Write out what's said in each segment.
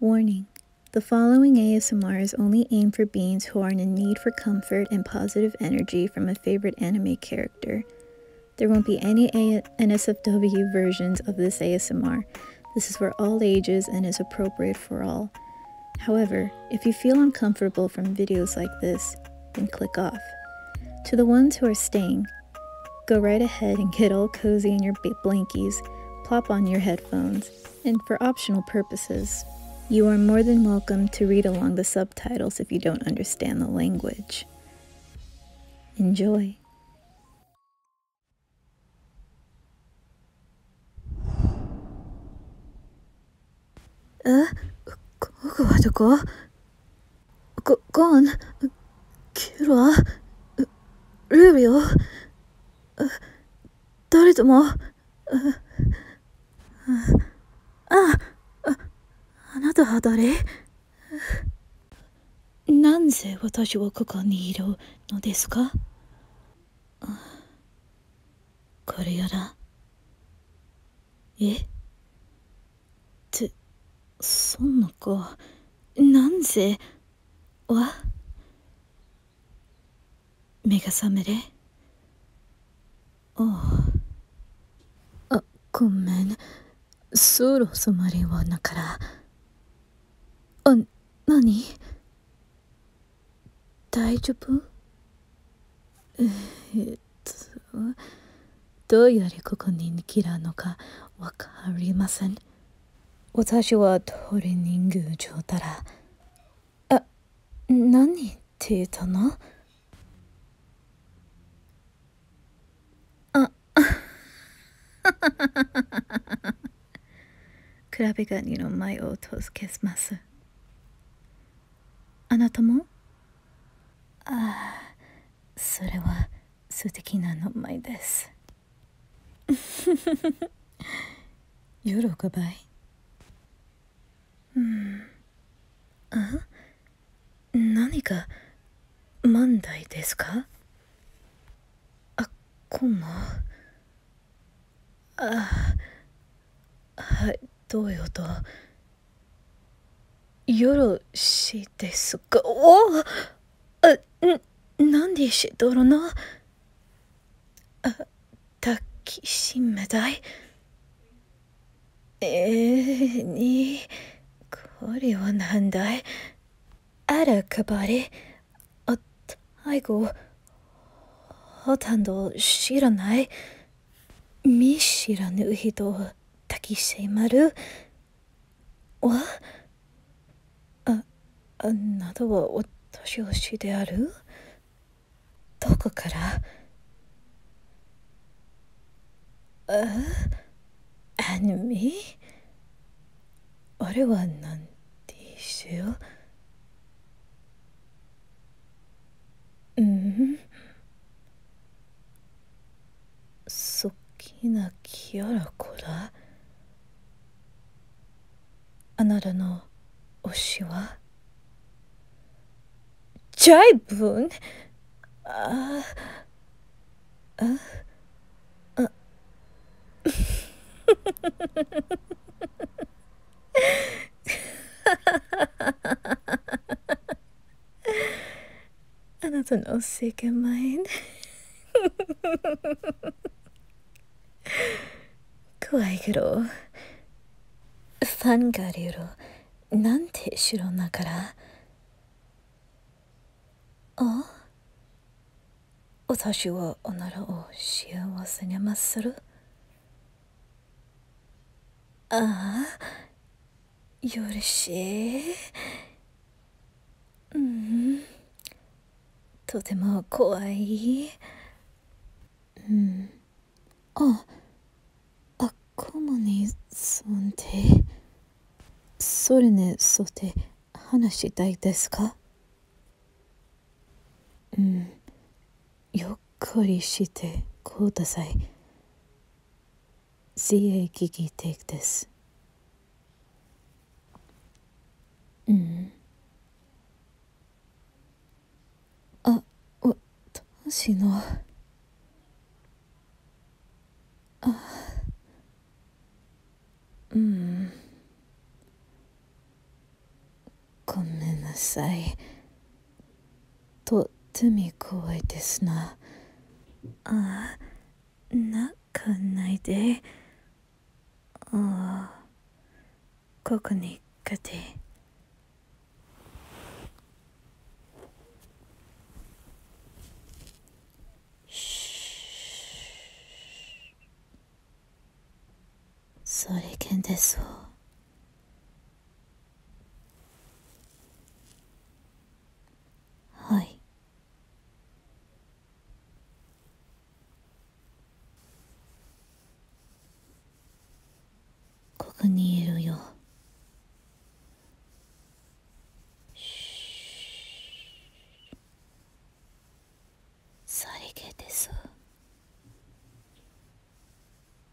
Warning. The following ASMR is only aimed for beings who are in a need for comfort and positive energy from a favorite anime character. There won't be any NSFW versions of this ASMR. This is for all ages and is appropriate for all. However, if you feel uncomfortable from videos like this, then click off. To the ones who are staying, Go right ahead and get all cozy in your blankies, plop on your headphones, and for optional purposes, you are more than welcome to read along the subtitles if you don't understand the language. Enjoy! Uh, eh? 午後はどこご、ごんキュラルービオ誰ともあああなたは誰なぜ私はここにいるのですかこれやらえってそんなか、なんぜわ目が覚めれおうあごめんそろそまりはなからあなに大丈夫えっとどうやらここに逃げらのかわかりません私はトレーニング上たら、あ、何って言ったのあ、クラブガニの前を通すします。あなたもああ、それは素敵な名前です。喜ばいうんあ何か万代ですかあこんもあはいどうよとよろしいですかおっあ、なんでしどろのあ、たきしめだい。ええに、これはなんだいあらかばれ、あ、たいご、ほとんど知らない。見知らぬ人、たきしまる。わああなどはお年寄しであるどこからああ。アニメ。あれはなんてしようんそっきなきやらこらあなたの推しはジャイブンああああ Ha ha ha ha ha ha ha ha ha. あなたのセカマイン怖いけどファンがいるなんて知らんなからあはおならを幸せにまするああよろしいうんとても怖いああこもにそんでそれねそて、話したいですかうんゆっくりしてこうたさい CA 危機 take t h i うんあわしのあうんごめんなさいとっても怖いですなああ、泣かないでああここに来てしそれけんですわはいここにいるよさりげです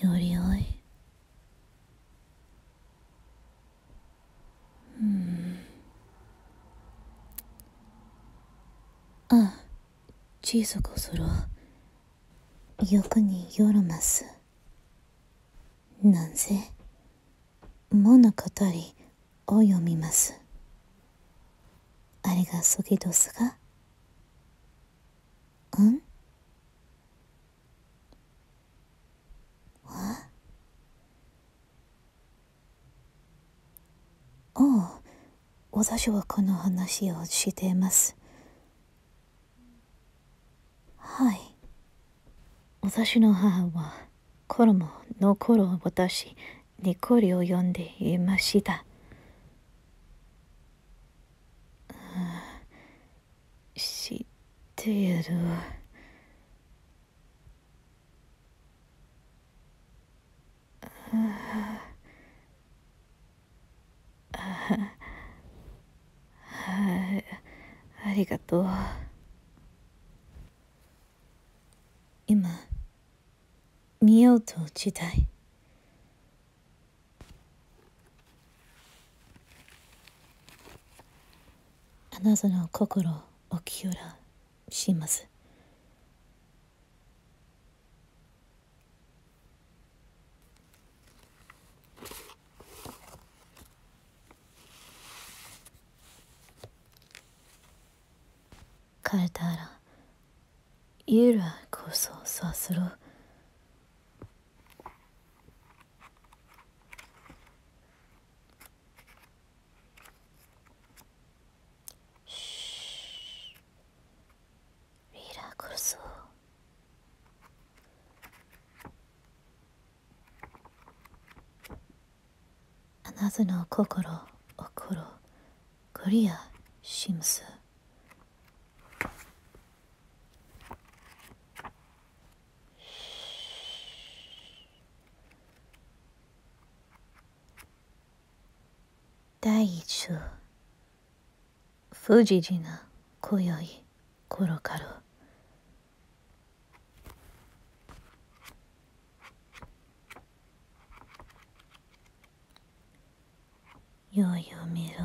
よりおいうんああ小さくする欲によろますなんせ物語を読みます。あれがそぎどすがうんわああ私はこの話をしていますはい私の母はころも、のころ頃私にこれを読んでいました。知っているわ。ありがとう。今見ようと時代あなたの心をき清らします Caldara. Ira coso sasuro. Ira coso. ああなたの心を心クリアシムス…。します第一章不時時な今宵頃からよいを見ろ